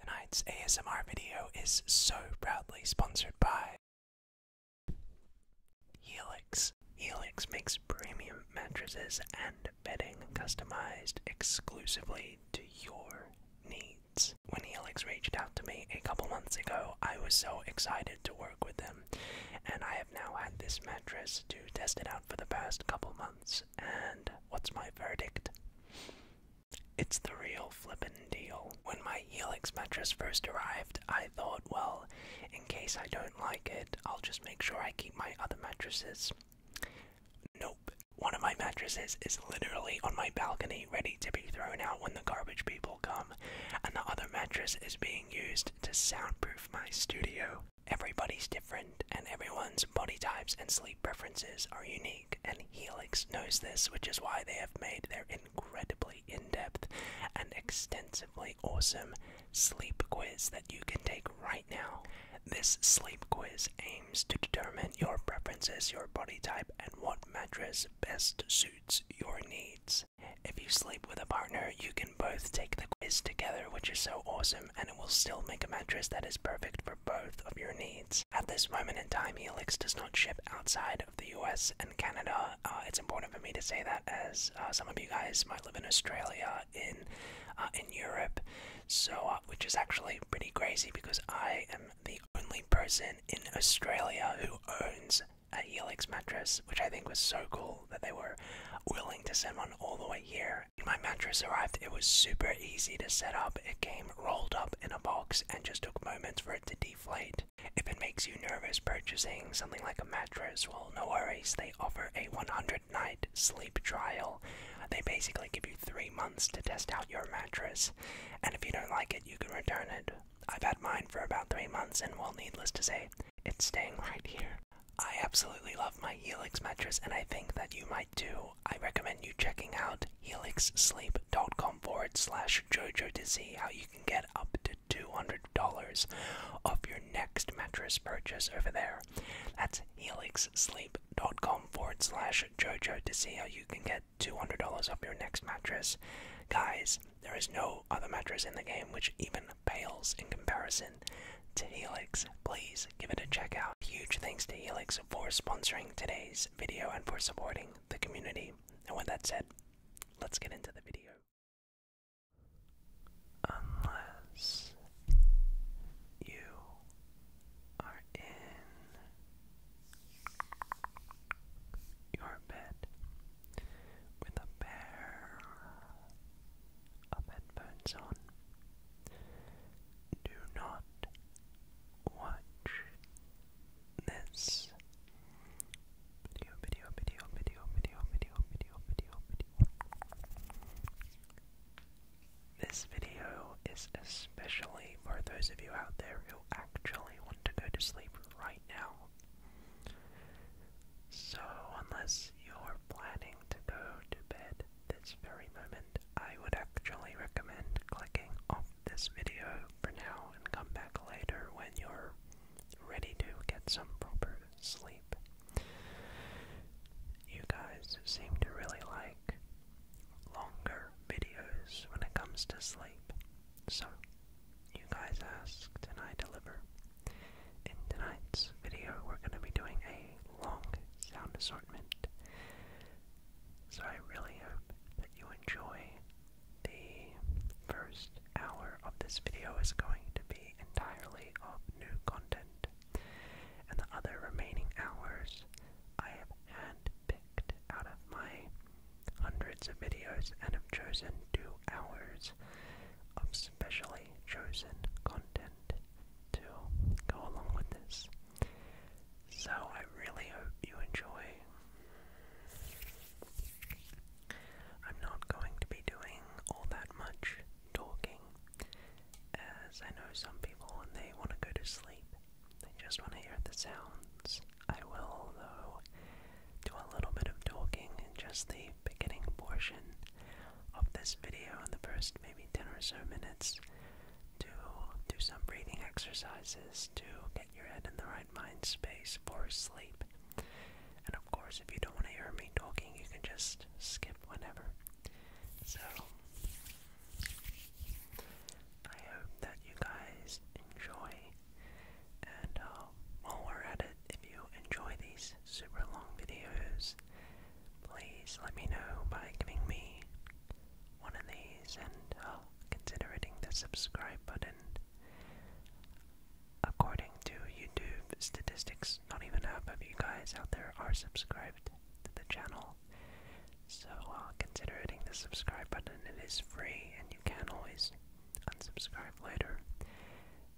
Tonight's ASMR video is so proudly sponsored by Helix. Helix makes premium mattresses and bedding customized exclusively to your needs. When Helix reached out to me a couple months ago, I was so excited to work with them, and I have now had this mattress to test it out for the past couple months. And what's my verdict? It's the real flippin' deal. When my Helix mattress first arrived, I thought, well, in case I don't like it, I'll just make sure I keep my other mattresses. Nope. One of my mattresses is literally on my balcony, ready to be thrown out when the garbage people come, and the other mattress is being used to soundproof my studio. Everybody's different, and everyone's body types and sleep preferences are unique and Helix knows this, which is why they have made their incredibly in depth and extensively awesome sleep quiz that you can take right now. This sleep quiz aims to determine your preferences, your body type, and what mattress best suits your needs. If you sleep with a partner, you can both take the quiz together, which is so awesome, and it will still make a mattress that is perfect for both of your needs. At this moment in time, Elix does not ship outside of the US and Canada. Uh, it's important for me to say that as uh, some of you guys might live in Australia, in, uh, in Europe, so which is actually pretty crazy because I am the only person in Australia who owns an Elix mattress, which I think was so cool that they were willing to send one all the way here. When my mattress arrived, it was super easy to set up. It came rolled up in a box and just moments for it to deflate. If it makes you nervous purchasing something like a mattress, well, no worries, they offer a 100 night sleep trial. They basically give you three months to test out your mattress, and if you don't like it, you can return it. I've had mine for about three months, and well, needless to say, it's staying right here. I absolutely love my Helix mattress, and I think that you might too. I recommend you checking out helixsleep.com forward slash JoJo to see how you can get up to $200 off your next mattress purchase over there. That's helixsleep.com forward slash JoJo to see how you can get $200 off your next mattress. Guys, there is no other mattress in the game which even pales in comparison to Helix. Please give it a check out. Huge thanks to Helix for sponsoring today's video and for supporting the community. And with that said, let's get into the video. Unless you are in your bed with a pair of headphones on, do not watch this video, video, video, video, video, video, video, video, video. This video is especially for those of you out there who actually want to go to sleep right now. So, unless you're planning to go to bed this very moment, I would actually recommend clicking off this video for now and come back later when you're ready to get some proper sleep. You guys seem to really like longer videos when it comes to sleep. So, you guys asked and I deliver. In tonight's video, we're going to be doing a long sound assortment. So I really hope that you enjoy the first hour of this video is going to be entirely of new content. And the other remaining hours I have handpicked out of my hundreds of videos and have chosen two hours of specially chosen content to go along with this. So I really hope you enjoy. I'm not going to be doing all that much talking, as I know some people when they want to go to sleep, they just want to hear the sounds. I will, though, do a little bit of talking in just the beginning portion of this video, in the first maybe 10 or so minutes, to do some breathing exercises to your head in the right mind space for sleep. And of course, if you don't want to hear me talking, you can just skip whenever. So, I hope that you guys enjoy. And uh, at it, if you enjoy these super long videos, please let me know by giving me one of these and uh, consider the subscribe button. According to YouTube statistics, not even half of you guys out there are subscribed to the channel. So uh, consider hitting the subscribe button. It is free and you can always unsubscribe later.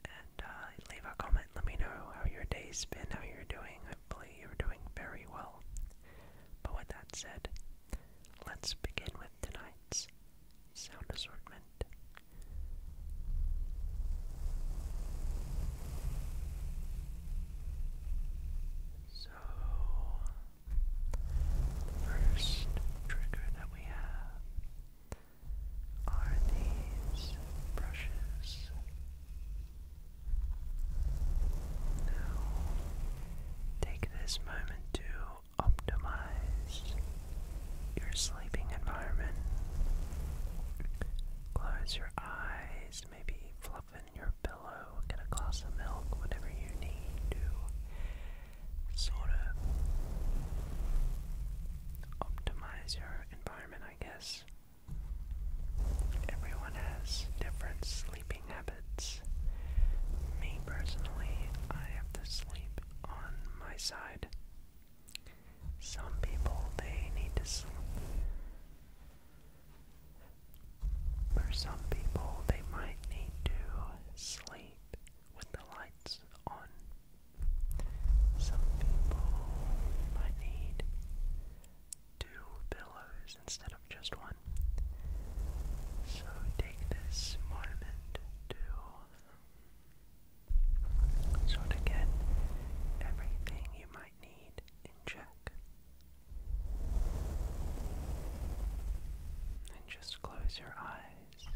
And uh, leave a comment. Let me know how your day's been, how you're doing. Hopefully you're doing very well. But with that said, Let's begin with tonight's sound assortment. So, first trigger that we have are these brushes. Now, take this moment to optimize your sleeping environment. Close your eyes, maybe fluff your pillow, get a glass of milk, whatever you need to sort of optimize your environment, I guess. Everyone has different sleeping habits habits. Me personally, I have to sleep on my side. Some people, they need to sleep. For some people, they might need to sleep with the lights on. Some people might need two pillows instead of just one. So take this moment to sort of everything you might need in check. And just close your eyes.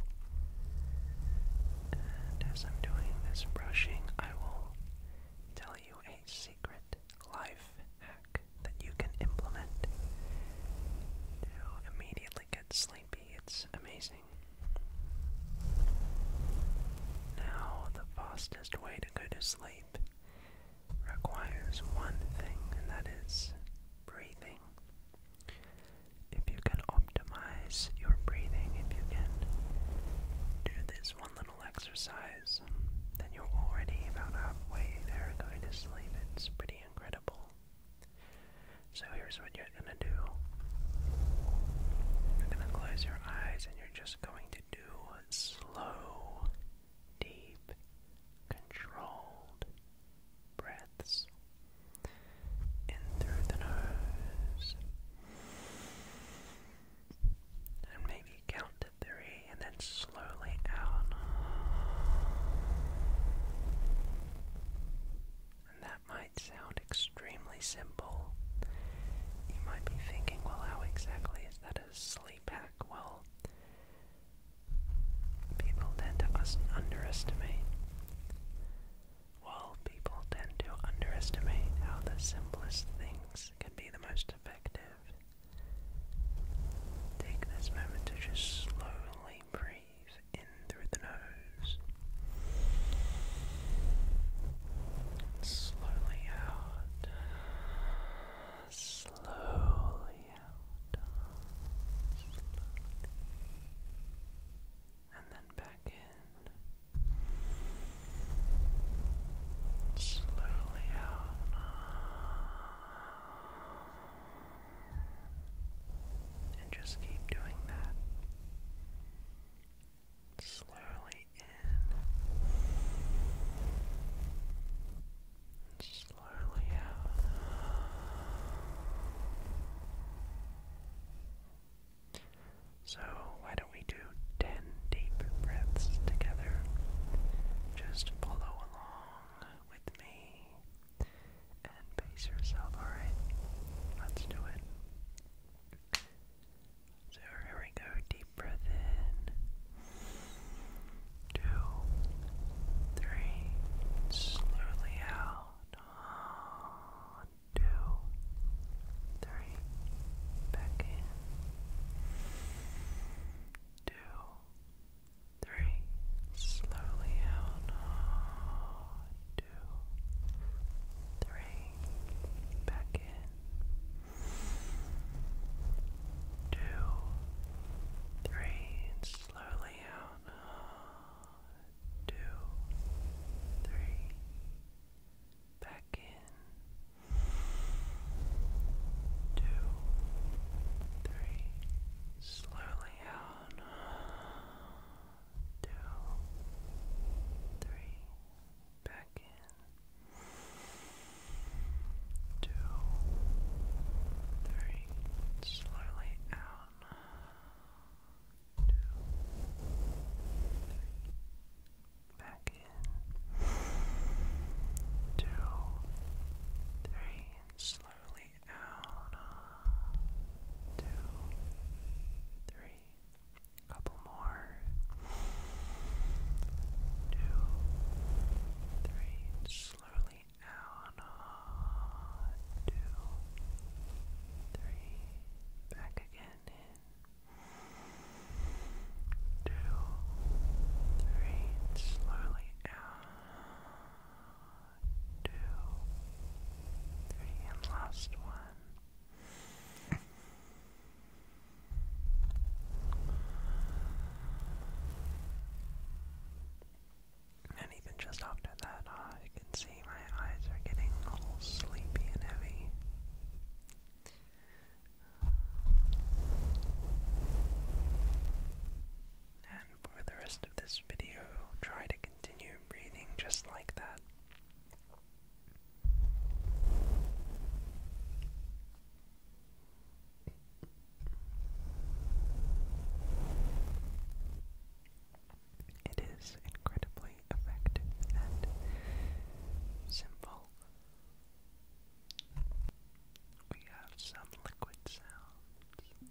And as I'm doing this brushing, I will tell you a secret life hack that you can implement to immediately get sleepy. It's amazing. Now, the fastest way to go to sleep requires one thing, and that is breathing. If you can optimize your breathing, if you can do this one little exercise, then you're already about halfway there going to sleep. It's pretty incredible. So here's what you're gonna do. You're gonna close your eyes and you're just going to do slow, deep, controlled breaths in through the nose. And maybe count to three and then slowly out. And that might sound extremely simple. You might be thinking, well, how exactly is that a sleep hack? Well, people tend to underestimate. Well, people tend to underestimate how the simplest things can be the most effective. Take this moment to just slowly breathe in through the nose, slowly out, slowly out, and then back in. Slowly out, and just keep doing that. Slowly in, slowly out. So, why don't we do 10 deep breaths together? Just follow along with me and pace yourself, alright? Let's do it. So here we go, deep breath in. Two, three, slowly out. two, three, back in. Two, three, slowly out, two, three, back in, two, three, slowly out, two, three, back in, two, three, slowly down. back in. Two, three, slowly out. Two, three, back in. Two, three, slowly out. two, three. Couple more. Two, three. Slowly out. two, three. Back again in. Two, three, slowly out two, and last one. And even just after that, uh, can see my eyes are getting a little sleepy and heavy for the rest of this video, try to continue breathing just like that. It is incredibly effective and simple. We have some liquid sounds.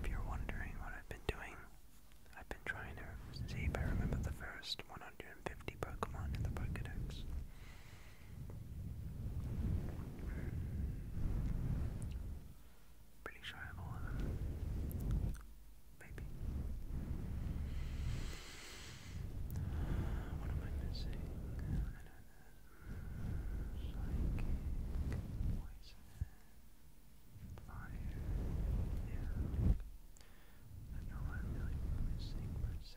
If you're wondering what I've been doing I've been trying to see if I remember the first 150 Pokemon in the Pokedex. Hmm. Pretty sure I have all of them. Maybe. What am I missing? I don't Psychic, poison, fire, yeah. I know I'm really missing per se.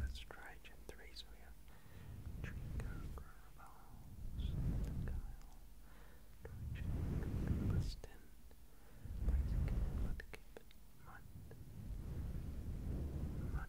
Let's try Gen 3, so we have Trinker, Grubbles, Guile, Dodge, Bustin, Bicycle, Mudkip, Mud, Mud, Marsh,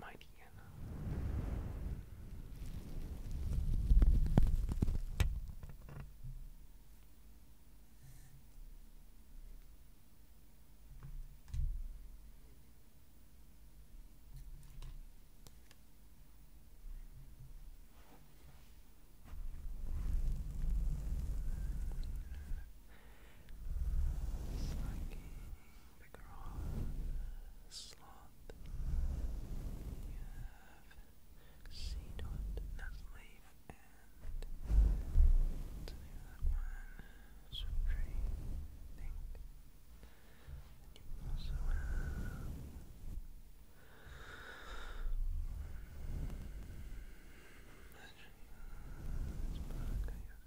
My Deanna. Slacking the cross slot. You have C dot Nesleaf and to do one, surgery, I think. And you also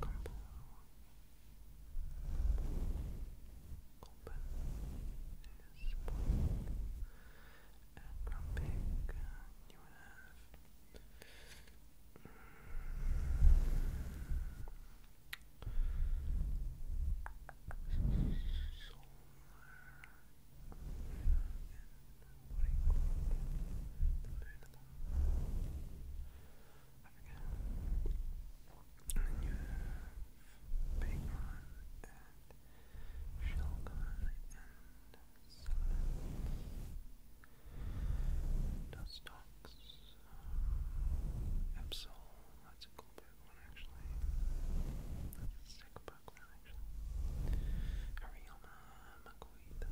Combo. Open is one. And from big, uh, you have mm, solar and forget. And you and Shelgon and Selenith. Dustox. Absol. That's a cool Pokemon actually. That's a sick Pokemon actually. Ariana, Macuita,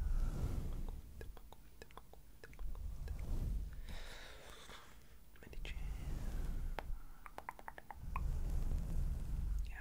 Macuita, Yeah,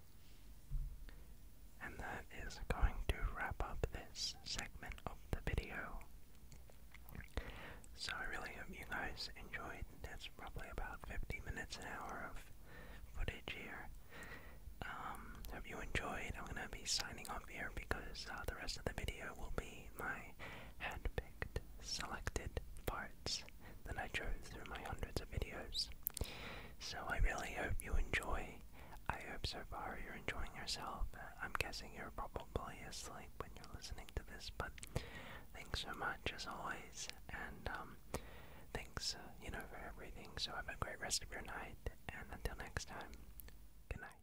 And that is going to wrap up this segment of the video. So I really hope you guys enjoyed. That's probably about 50 minutes an hour of footage here. Um, you enjoyed. I'm gonna be signing off here because uh, the rest of the video will be my hand-picked, selected parts that I chose through my hundreds of videos. So I really hope you enjoy. I hope so far you're enjoying yourself. I'm guessing you're probably asleep when you're listening to this, but thanks so much as always, and um, thanks uh, you know for everything. So have a great rest of your night, and until next time, good night.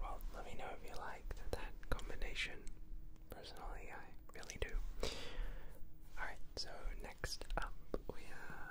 Well, let me know if you like that, combination. Personally, I really do. Alright, so next up we have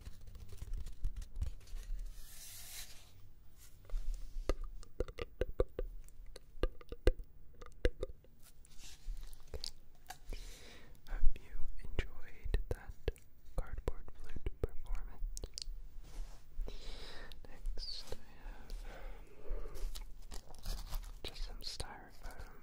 Hope you enjoyed that cardboard flute performance. Next, I have just some styrofoam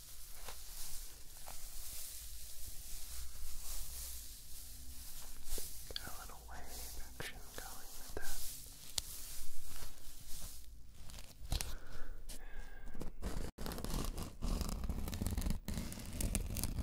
Got a little wave action going with that. And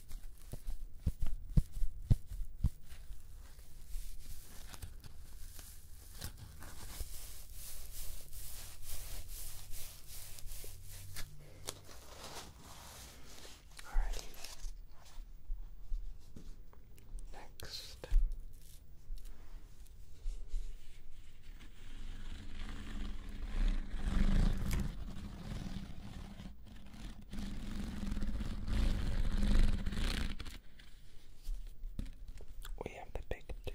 Alrighty. Next. All we have the big tube.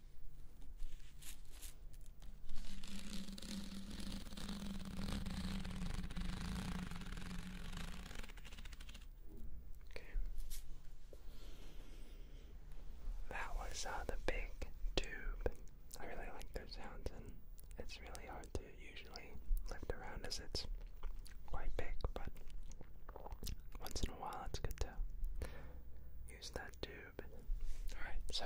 That was on uh, the big tube. I really like those sounds, and it's really hard to usually lift around as it's quite big, but once in a while it's good to use that tube. Alright, so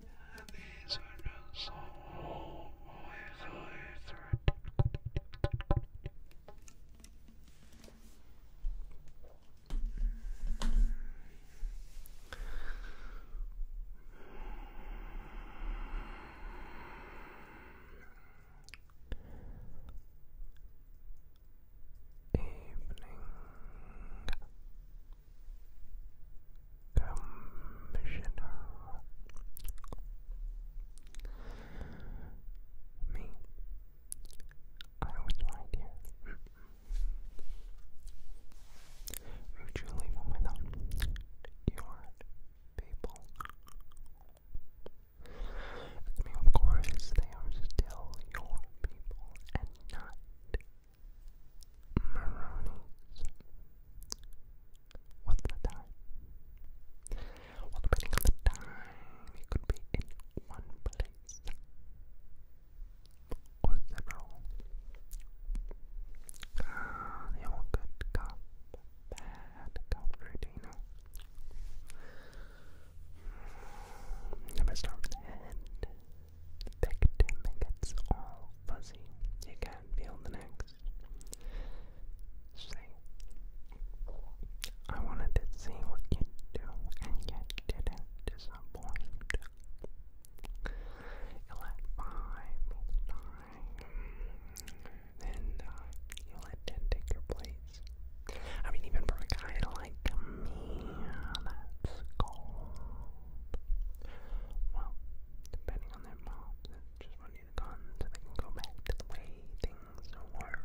These are not so warm, Evening Commissioner. Me. I was right you leave without your people? I of course, they are still your people and not Maroonies. What's the time? Well, depending on the time, it could be in one place or several. Ah, they all good cop, bad cop routine. Never start with the head victim gets all fuzzy. You can't feel the next. See, I wanted to see what you do, and you didn't disappoint. You let five die, and uh, you let ten take your place. I mean, even for a guy like me, that's cold mob. Well, depending on their mobs, just want you to go back to the way things were.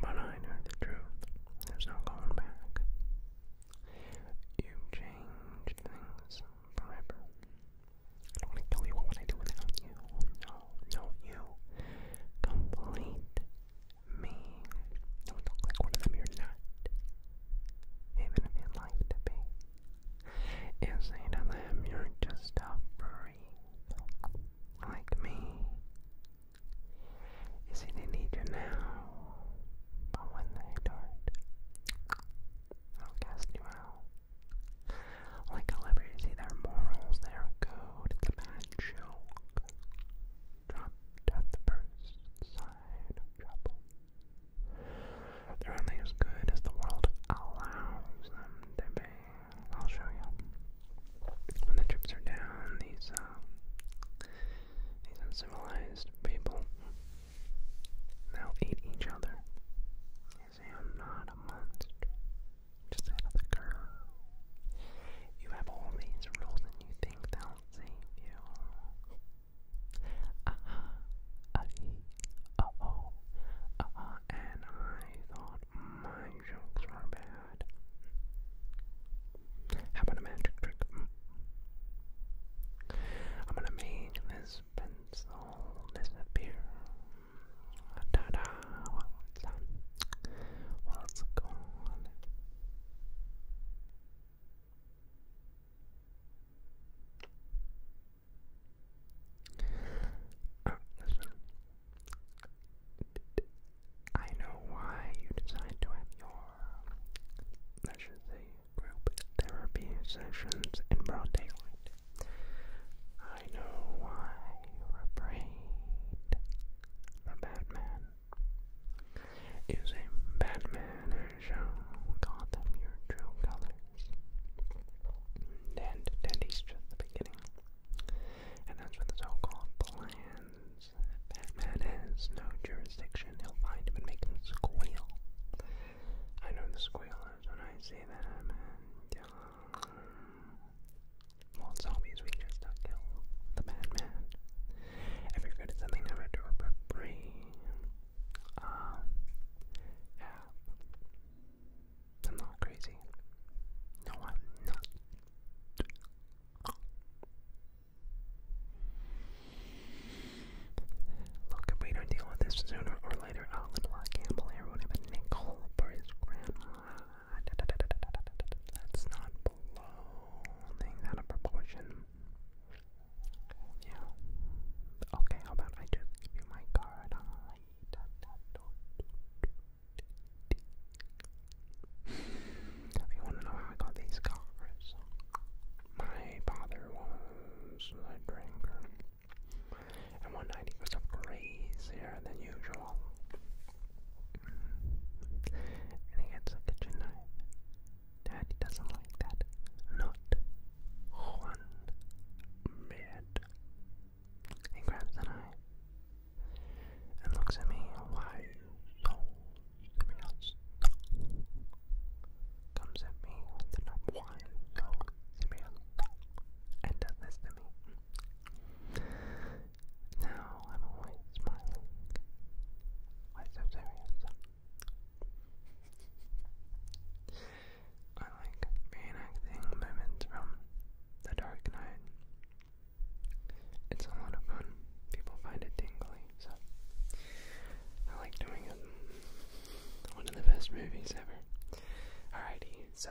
But I know the truth. There's no going back. You've things forever. I don't want to kill you. What would I do without you? No, no, you. Complete me. Don't look like one of them. You're not even if you'd like to be, is say to them, you're just a breathe, like me. You see, they need you now, but when they don't, I'll cast you out. Like a liberty, their morals, their code, it's a bad joke. Dropped at the first side of trouble. They're only as good as the world allows them to be. I'll show you. When the chips are down, these uh, these uncivilized people they'll eat each other. You see, I'm not a monster. Just another girl. You have all these rules and you think they'll save you aha, uh -huh, uh oh, uh -huh, and I thought my jokes were bad. How about a magic trick? I'm gonna make this pencil disappear. Ta-da! Well, has gone. Oh, I know why you decide to have your, let group therapy sessions in broad daylight. I know why you're afraid the Batman is a Batman and show Gotham your true colors. And Dandy's just the beginning. And that's what the so-called plans. Batman has no jurisdiction. He'll find him and make him squeal. I know the squealers when I see them, uh, well, zombies we just kill the Batman. If you're good at something, I'm do it for free. Um, yeah. I'm not crazy. No, I'm not. Look, if we don't deal with this sooner or later, I'll let Black Campbell here a nickel for his grandma. Da, not blow out of proportion. Yeah. Okay, how about I just give you my card? If you want to know how I got these cars, my father was a drinker, and one night he was crazier than usual. And he gets a kitchen knife Daddy doesn't like that. Not one bit. He grabs an eye and looks at me. Why so serious? Comes at me with the knife. Why so serious? And does this to me. Now I'm always smiling. Why so serious? I like reenacting moments from The Dark Knight. It's a lot of fun. People find it tingly, so I like doing it. One of the best movies ever. Alrighty, so.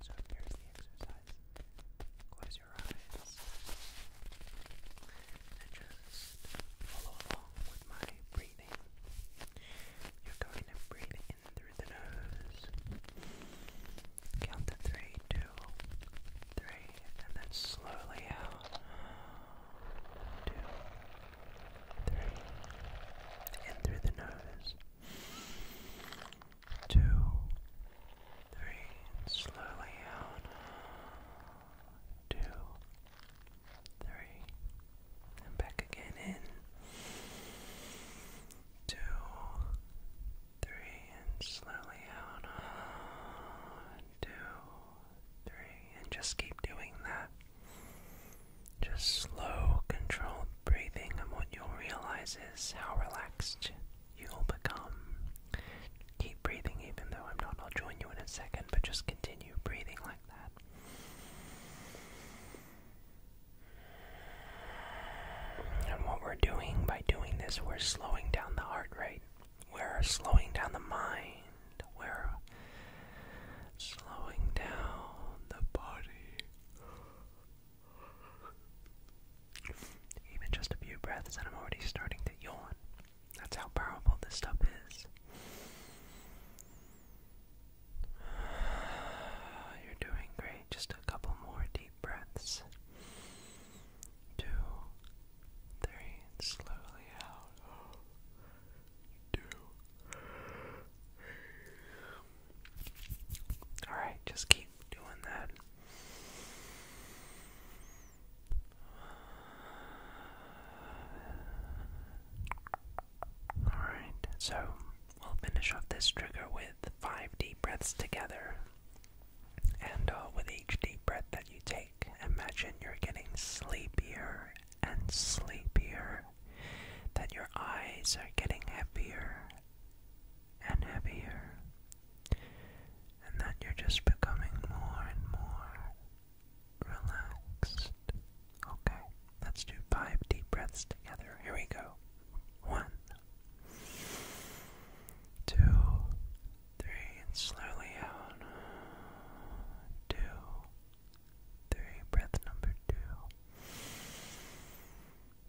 So here's the exercise. Close your eyes and just follow along with my breathing. You're going to breathe in through the nose. Count to three, two, three, and then slowly out. Two, three, in through the nose. Two, three, slowly out. Two, three, and back again in two, three, and slowly out two, three, and just keep doing that. Just slow, controlled breathing, and what you'll realize is how relaxed you'll become. Keep breathing, even though I'm not. I'll join you in a second, but just continue breathing like that. And what we're doing by doing this, we're slowing down the heart rate. We're slowing down the mind. We're slowing down the body. Even just a few breaths, and I'm already starting to yawn. That's how powerful this stuff is. You're doing great. Just a couple more deep breaths. Two, three, slowly out. Two. Alright, just keep doing that. Alright, so we'll finish off this trigger with five deep breaths together. And uh, with each deep breath that you take, imagine you're getting sleepier and sleepier, that your eyes are getting heavier and heavier, and that you're just becoming more and more relaxed. Okay, let's do five deep breaths together. Here we go. One, two, three, and slowly out. Two, three, breath number two.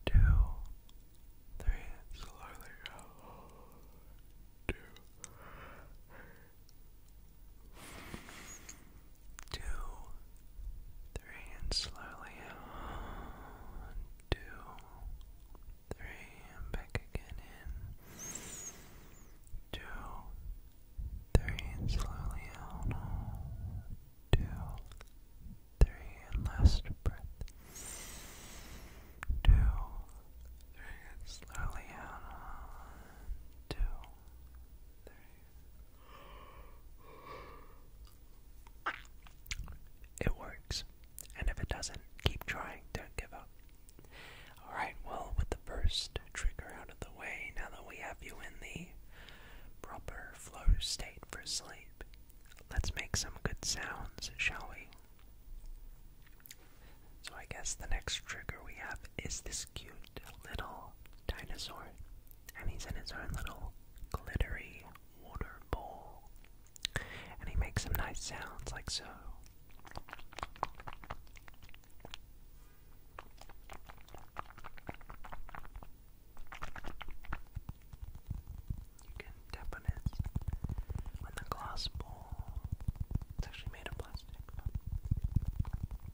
Two, three, slowly out. Two, two, three, and slowly out. Two, three, and back again in. Two, three, and slowly out. Two, three, and last breath. Two, three, and slowly out. Two, three, it works. And if it doesn't, keep trying. Don't give up. Alright, well, with the first trigger out of the way, now that we have you in the proper flow state for sleep, let's make some good sounds, shall we? So, I guess the next trigger we have is this cute little dinosaur, and he's in his own little glittery water bowl, and he makes some nice sounds like so. You can tap on it on the glass bowl. It's actually made of plastic.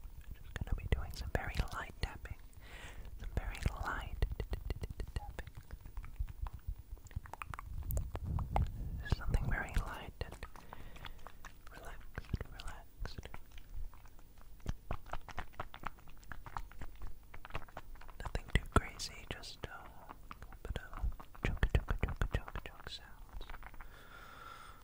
I'm just going to be doing some very light tapping. Some very light tapping. Something very light and relaxed, relaxed. Nothing too crazy, just a little bit of chunka chunka chunka chunka chunk sounds.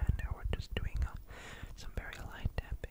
And now we're just doing uh, some very light tapping.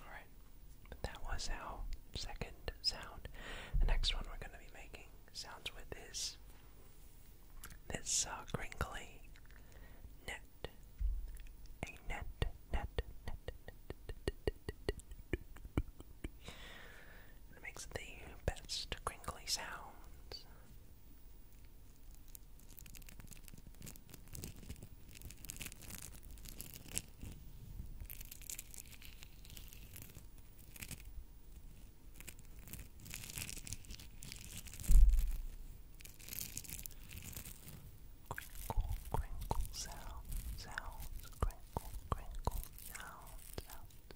Alright, that was our second sound. The next one we're going to be making sounds with is this uh, crinkly net. It makes the best crinkly sounds Crinkle, crinkle sound, sound, crinkle, crinkle sound, sound,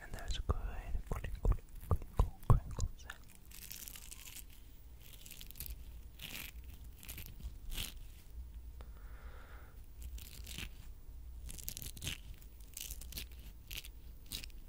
And there's a good crinkle, crinkle, crinkle sound.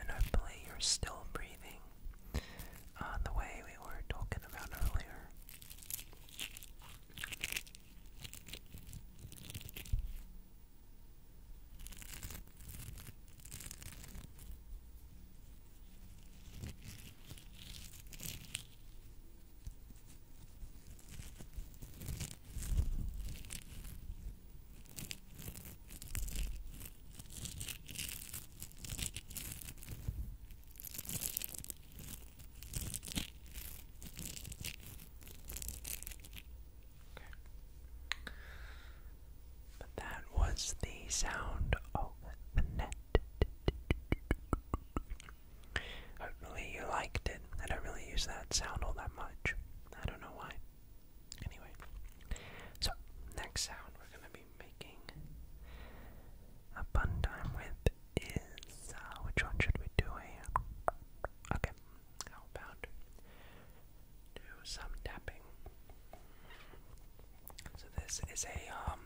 And hopefully, you're still breathing uh, the way we were talking about earlier. Okay. But that was the sound of the net. Hopefully you liked it. I don't really use that sound all that much. I don't know why. Anyway, so next sound we're going to be making a fun time with is uh, which one should we do eh? Okay, how about do some tapping? So this is a um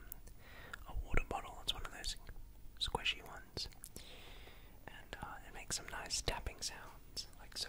a water bottle. It's one of those squishy and uh, it makes some nice tapping sounds, like so.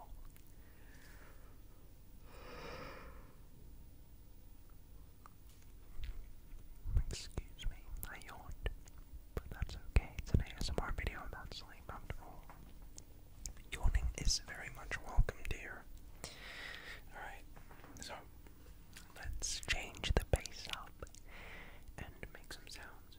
Excuse me, I yawned, but that's okay. It's an ASMR video about sleep after all. Yawning is very much welcome, dear. Alright, so let's change the bass up and make some sounds.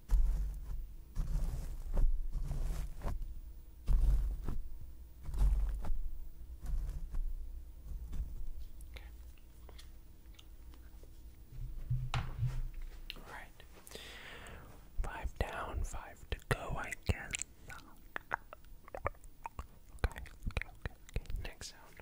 Okay. All right. Five down, five to go, I guess. Okay, okay, okay, okay. Next sound.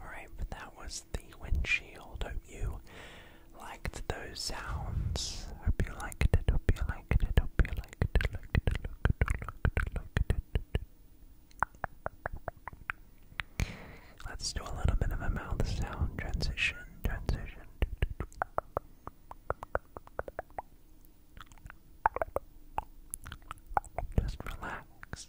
Alright, but that was the windshield. Hope you liked those sounds. Hope you liked it, hope you liked it, hope you liked it. Let's do a little bit of a mouth sound transition, transition. Just relax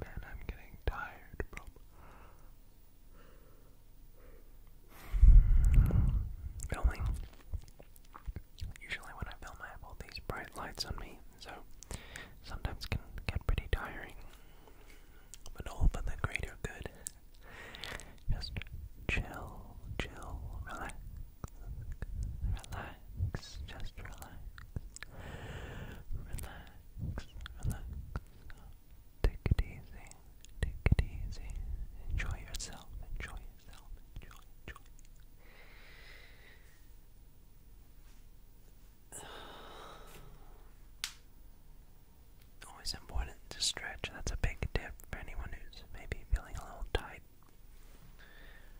Man, I'm getting tired, Filming. Usually, when I film, I have all these bright lights on me, so sometimes can get pretty tiring. But all for the greater good. Just chill, chill, relax, relax, just relax, relax, relax. Take it easy, take it easy. Enjoy yourself, enjoy yourself, enjoy, enjoy. Always important shouldn't stretch. That's a big tip for anyone who's maybe feeling a little tight.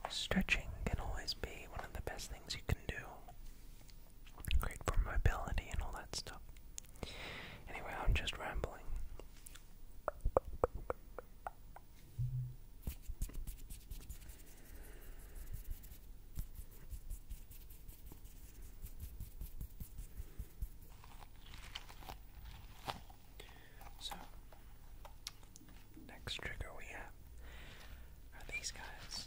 Stretching can always be one of the best things you can do. Great for mobility and all that stuff. Anyway, I'm just rambling. So, next trigger we have are these guys.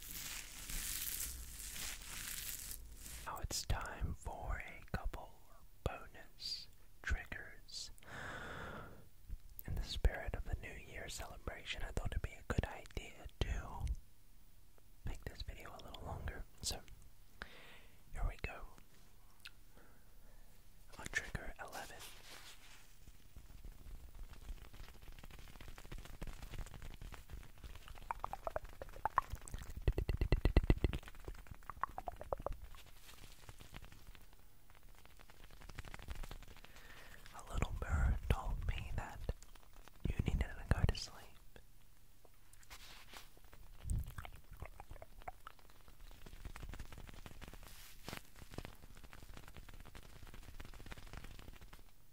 Now it's time for a couple bonus triggers. In the spirit of the New Year celebration, I thought it'd be a good idea to make this video a little longer. So, here we go. trigger 11. A little bird told me that you needed to go to sleep.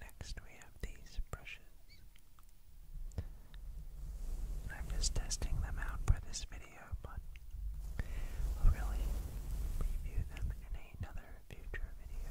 Next, we have these brushes. I'm just testing them out for this video, but I'll really review them in another future video.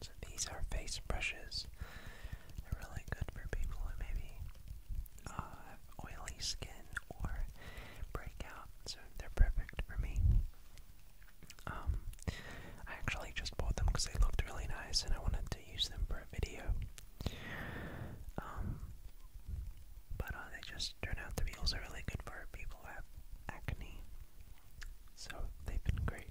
So these are face brushes. They're really good for people who maybe uh, oily skin or breakout, they're perfect for me. Um, I actually just bought them because they looked really nice and I wanted to use them for a video. Um, but uh, they just turn out to be also really good for people who acne, so they've been great.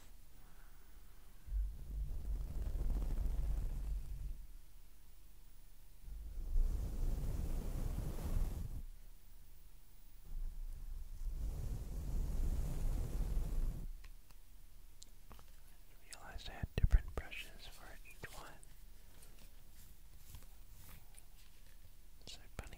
I realized I had different brushes for each one. So funny.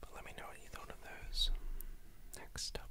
But let me know what you thought of those. Next up.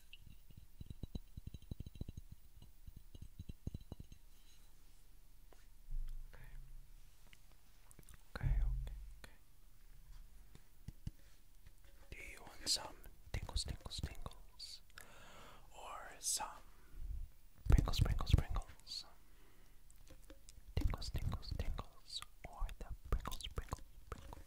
Okay, okay, okay. Do you want some tingles, tingles, tingles? Or some sprinkles, sprinkles, sprinkles? Tingles, tingles, tingles. Or the sprinkles, sprinkles, sprinkles.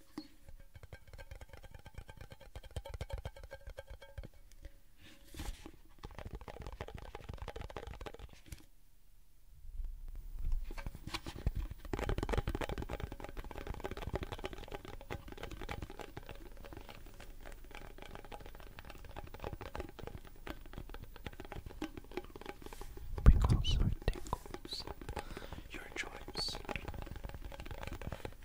Because it tickles your joints.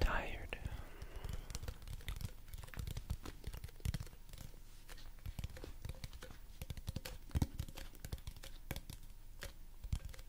Tired.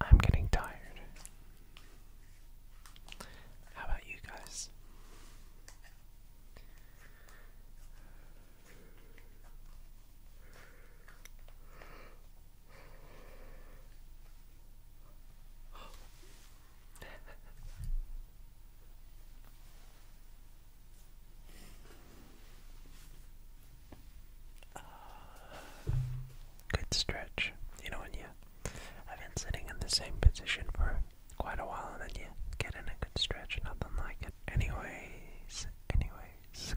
I'm getting tired. How about you guys? Uh, good stretch. You know, when you I've been sitting in the same position for quite a while and then you get in a good stretch, nothing like it. Anyways, anyways.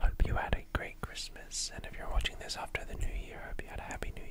Hope you had a great Christmas, and if you're watching this after the new year, hope you had a happy new year.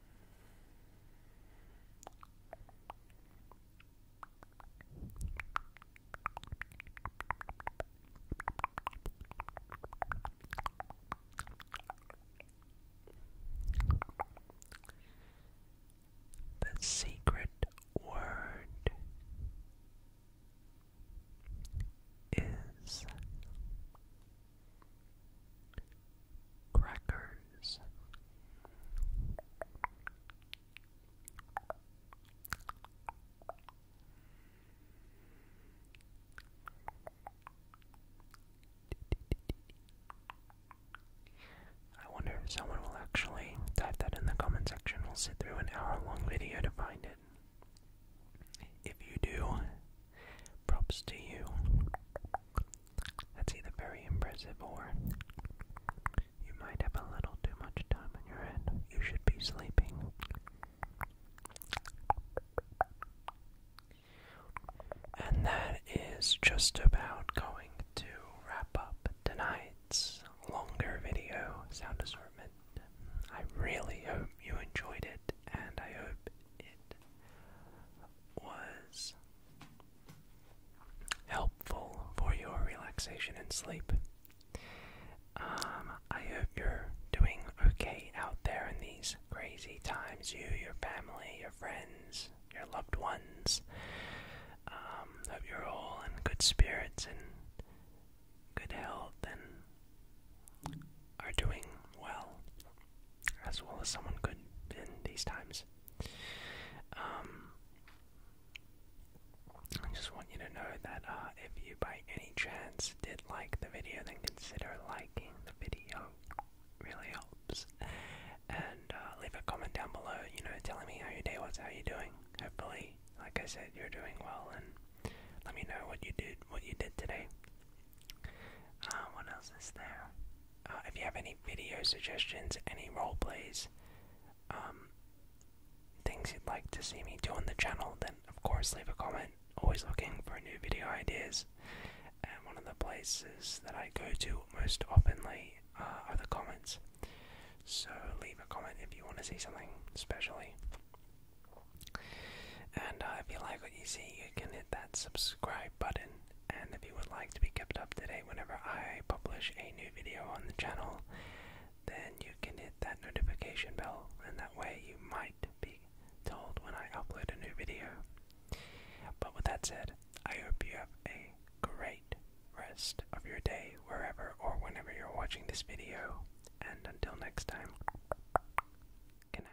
The secret word is Crackers. I wonder if someone will actually type that in the comment section. We'll sit through an hour long video to find it. If you do, Props to you. That's either very impressive or you might have a little too much time in your head. You should be sleeping. And that is just about going to wrap up tonight's longer video sound assortment. I really hope you enjoyed it, and I hope it was helpful for your relaxation and sleep. Um, I hope you're doing okay out there in these crazy times. You, your family, your friends, your loved ones. That um, you're all in good spirits and good health and are doing well as well as someone good in these times. Um, I just want you to know that uh, if you by any chance did like the video, then consider liking the video. really helps. And uh, leave a comment down below, you know, telling me how your day was, how you're doing. Hopefully, like I said, you're doing well, and let me know what you did, what you did today. Uh, what else is there? Uh, if you have any video suggestions, any role plays, um, things you'd like to see me do on the channel, then of course leave a comment. Always looking for new video ideas, and one of the places that I go to most oftenly uh, are the comments. So leave a comment if you want to see something, specially. And uh, if you like what you see, you can hit that subscribe button. And if you would like to be kept up to date whenever I publish a new video on the channel, then you can hit that notification bell, and that way you might be told when I upload a new video. But with that said, I hope you have a great rest of your day wherever or whenever you're watching this video. And until next time, good